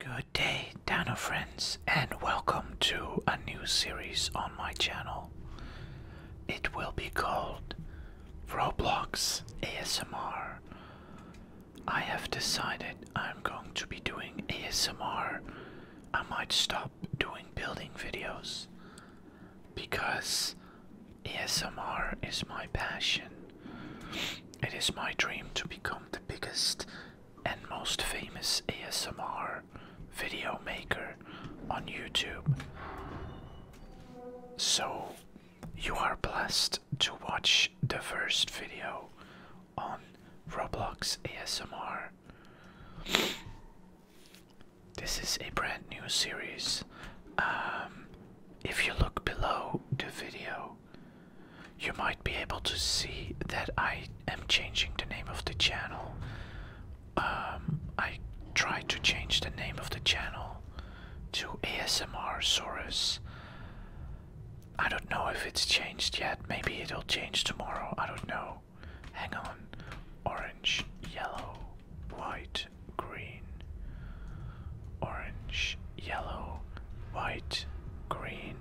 Good day, Dino friends, and welcome to a new series on my channel. It will be called Roblox ASMR. I have decided I'm going to be doing ASMR. I might stop doing building videos because ASMR is my passion. It is my dream to become the biggest and most famous ASMR video maker on YouTube. So, you are blessed to watch the first video on Roblox ASMR. This is a brand new series. Um, if you look below the video, you might be able to see that I am changing the name of the channel. Um, I tried to change the name of the channel to ASMR Saurus. I don't know if it's changed yet. Maybe it'll change tomorrow. I don't know. Hang on. Orange, yellow, white, green. Orange, yellow, white, green,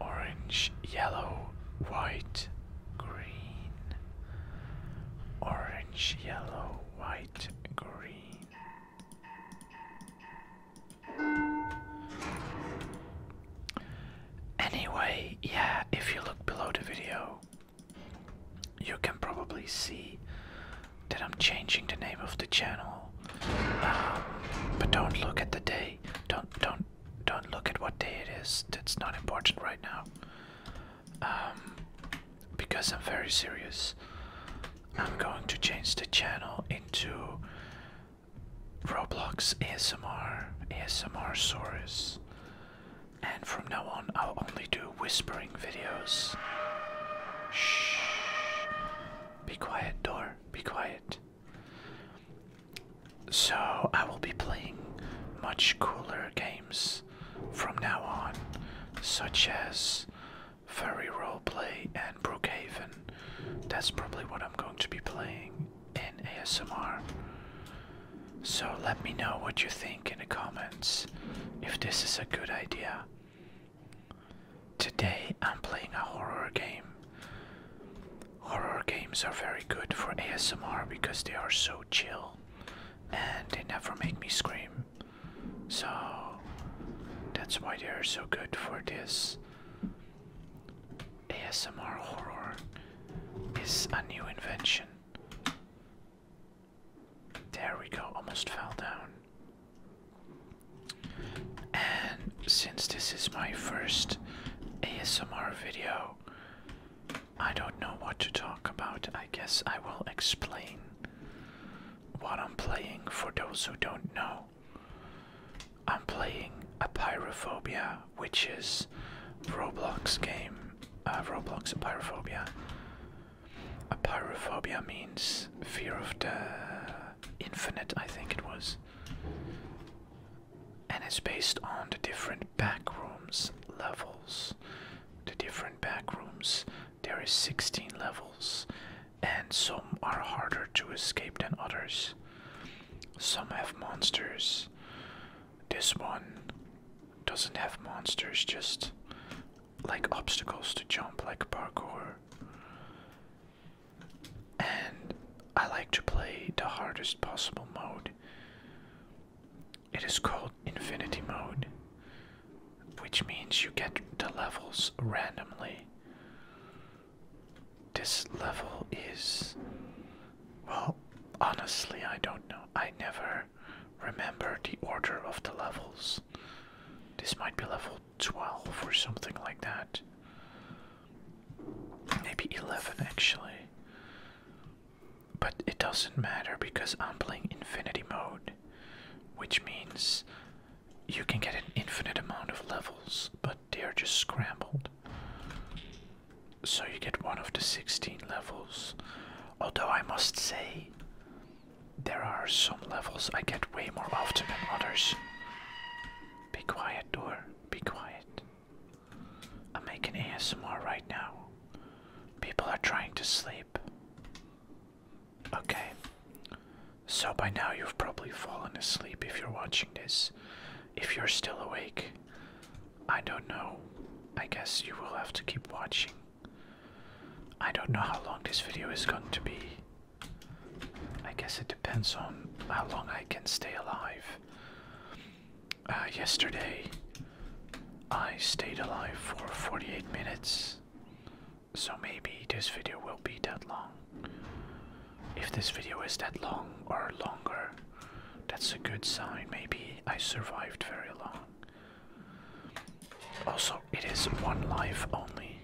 orange, yellow, white, green, orange, yellow, white, green. Anyway, yeah, if you look below the video, you can probably see that I'm changing the name of the channel. Um, but don't look at the day. Don't don't don't look at what day it is. That's not important right now. Um, because I'm very serious. I'm going to change the channel into Roblox ASMR, ASMR Saurus. And from now on, I'll only do whispering videos. Shh. Be quiet, door. Be quiet. So, I will be playing much cooler games from now on, such as Furry Roleplay and Brookhaven. That's probably what I'm going to be playing in ASMR. So, let me know what you think in the comments if this is a good idea. Today I'm playing a horror game. Horror games are very good for ASMR because they are so chill and they never make me scream. So that's why they are so good for this. ASMR horror is a new invention. There we go, almost fell down. And since this is my first ASMR video, I don't know what to talk about. I guess I will explain what I'm playing for those who don't know. I'm playing a Pyrophobia, which is Roblox game uh, Roblox Pyrophobia. A pyrophobia means fear of the infinite, I think it was. And it's based on the different backrooms levels. The different backrooms. There is 16 levels, and some are harder to escape than others. Some have monsters. This one doesn't have monsters, just like obstacles to jump, like parkour. And I like to play the hardest possible mode. It is called Infinity Mode, which means you get the levels randomly. This level is well, honestly, I don't know. I never remember the order of the levels. This might be level 12 or something like that. Maybe 11 actually. But it doesn't matter because I'm playing infinity mode, which means you can get an infinite amount of levels, but they are just scrambled. So you get one of the 16 levels. Although I must say, there are some levels I get way more often than others. Be quiet, door. Be quiet. I'm making ASMR right now. People are trying to sleep. Okay. So by now you've probably fallen asleep if you're watching this. If you're still awake, I don't know. I guess you will have to keep watching. I don't know how long this video is going to be. I guess it depends on how long I can stay alive. Uh, yesterday, I stayed alive for 48 minutes. So maybe this video will be that long. If this video is that long or longer, that's a good sign. Maybe I survived very long. Also, it is one life only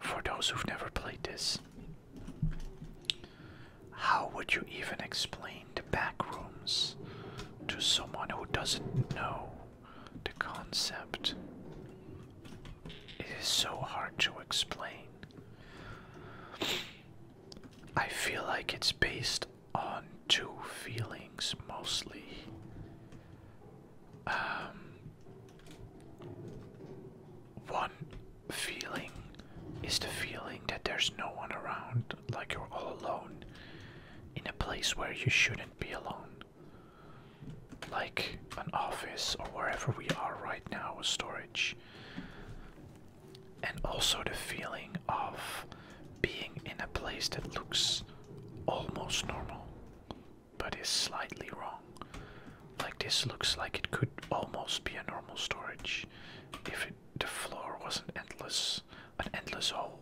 for those who've never played this. How would you even explain the back rooms to someone who doesn't know the concept? It is so hard to explain. I feel like it's based on two feelings mostly. Um, one feeling is the feeling that there's no one around, like you're all alone in a place where you shouldn't be alone, like an office or wherever we are right now, storage. And also the feeling of being in a place that looks almost normal, but is slightly wrong. Like this looks like it could almost be a normal storage if the floor wasn't endless, an endless hole,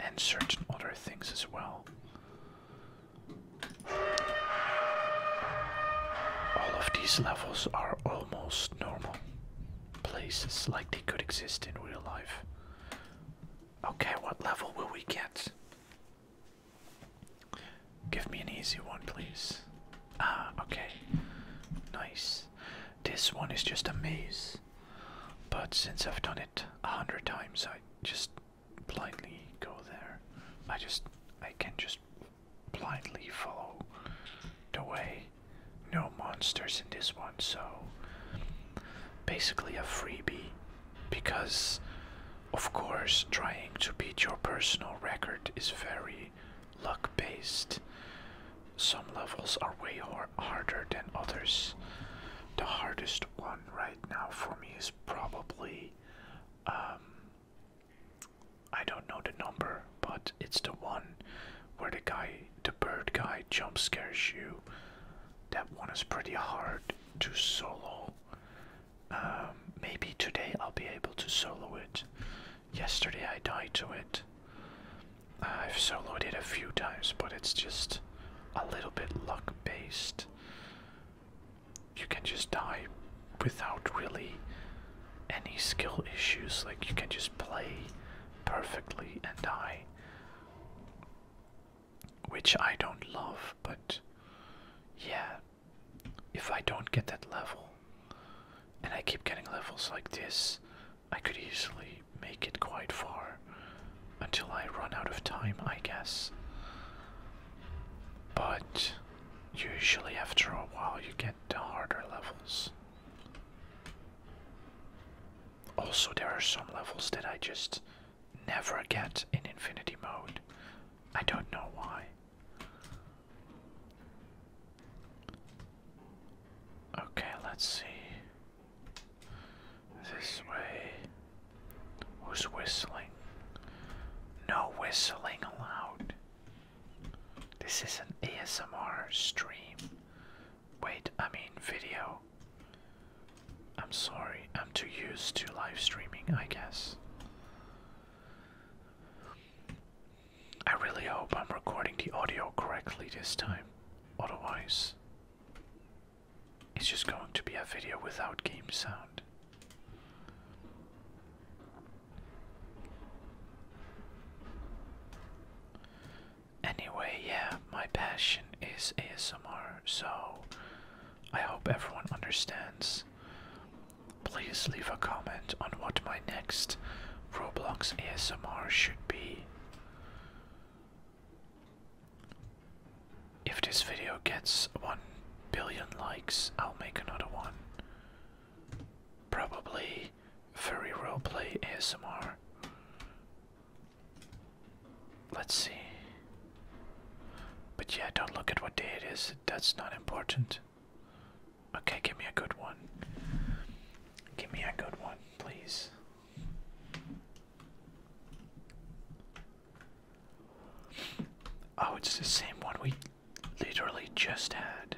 and certain other things as well. All of these levels are almost normal places, like they could exist in real life. Okay, what level will we get? Give me an easy one, please. Ah, okay. Nice. This one is just a maze. But since I've done it a hundred times, I just blindly go there. I just I can just blindly follow the way. No monsters in this one, so basically a freebie because of course trying to beat your personal record is very luck based. Some levels are way harder than others. The hardest one right now for me is probably um, I don't know the number, but it's the one where the guy, the bird guy, jumpscares you. That one is pretty hard to solo. Um, maybe today I'll be able to solo it. Yesterday I died to it. I've soloed it a few times, but it's just a little bit luck based you can just die without really any skill issues. Like you can just play perfectly and die. Which I don't love, but yeah, if I don't get that level and I keep getting levels like this, I could easily make it quite far until I run out of time, I guess. But usually, after a while, you get the harder levels. Also, there are some levels that I just never get in Infinity Mode. I don't know why. Okay, let's see. This way. Who's whistling? No whistling allowed. This is an ASMR stream. Wait, I mean video. I'm sorry, I'm too used to live streaming, I guess. I really hope I'm recording the audio correctly this time. Otherwise, it's just going to be a video without game sound. Anyway, yeah, my passion is ASMR, so I hope everyone understands. Please leave a comment on what my next Roblox ASMR should be. If this video gets 1 billion likes, I'll make another one. Probably furry roleplay ASMR. Let's see. But yeah, don't look at what day it is, that's not important. Okay, give me a good one. Give me a good one, please. Oh, it's the same one we literally just had.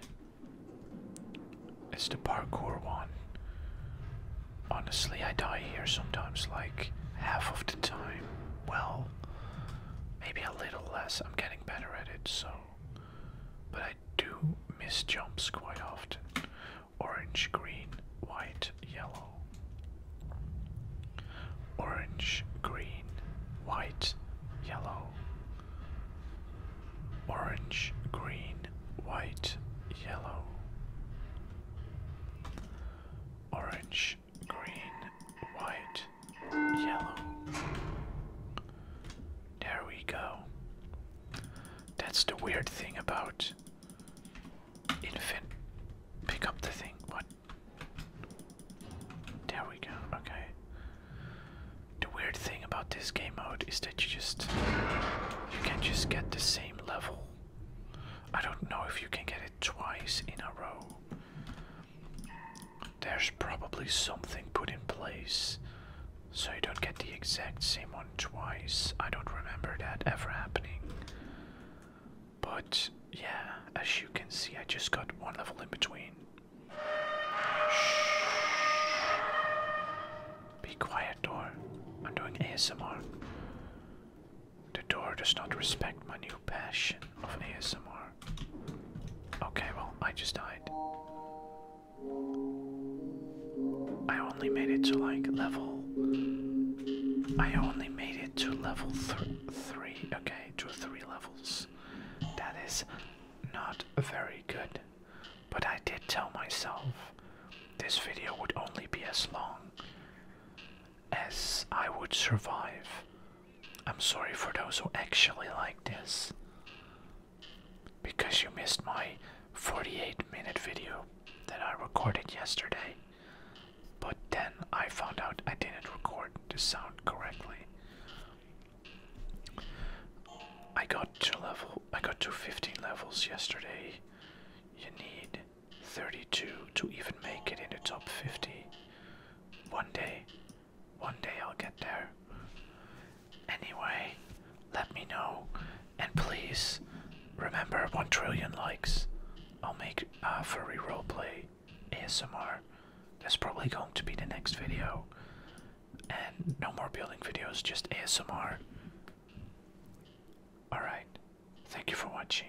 It's the parkour one. Honestly, I die here sometimes, like half of the time. Well, maybe a little less. I'm getting better at it, so. But I do miss jumps quite often. Orange, green, white, yellow. Orange, green, white, yellow. Orange, green, white, yellow. Orange, green, white, yellow. There we go. That's the weird thing about Infant. Pick up the thing. What? There we go. Okay. The weird thing about this game mode is that you just. You can just get the same level. I don't know if you can get it twice in a row. There's probably something put in place so you don't get the exact same one twice. I don't remember that ever happening. But yeah, as you can see, I just got one level in between. Shh. Be quiet, door. I'm doing ASMR. The door does not respect my new passion of an ASMR. Okay, well, I just died. I only made it to like level. I only made it to level three. Okay, to three levels. That is not very good. But I did tell myself this video would only be as long as I would survive. I'm sorry for those who actually like this because you missed my 48 minute video that I recorded yesterday. But then I found out I didn't record the sound correctly. I got to level I got to 15 levels yesterday. You need 32 to even make it in the top 50 one day one day I'll get there. Anyway, let me know. And please remember 1 trillion likes. I'll make a uh, furry roleplay ASMR. That's probably going to be the next video. And no more building videos, just ASMR. Alright, thank you for watching.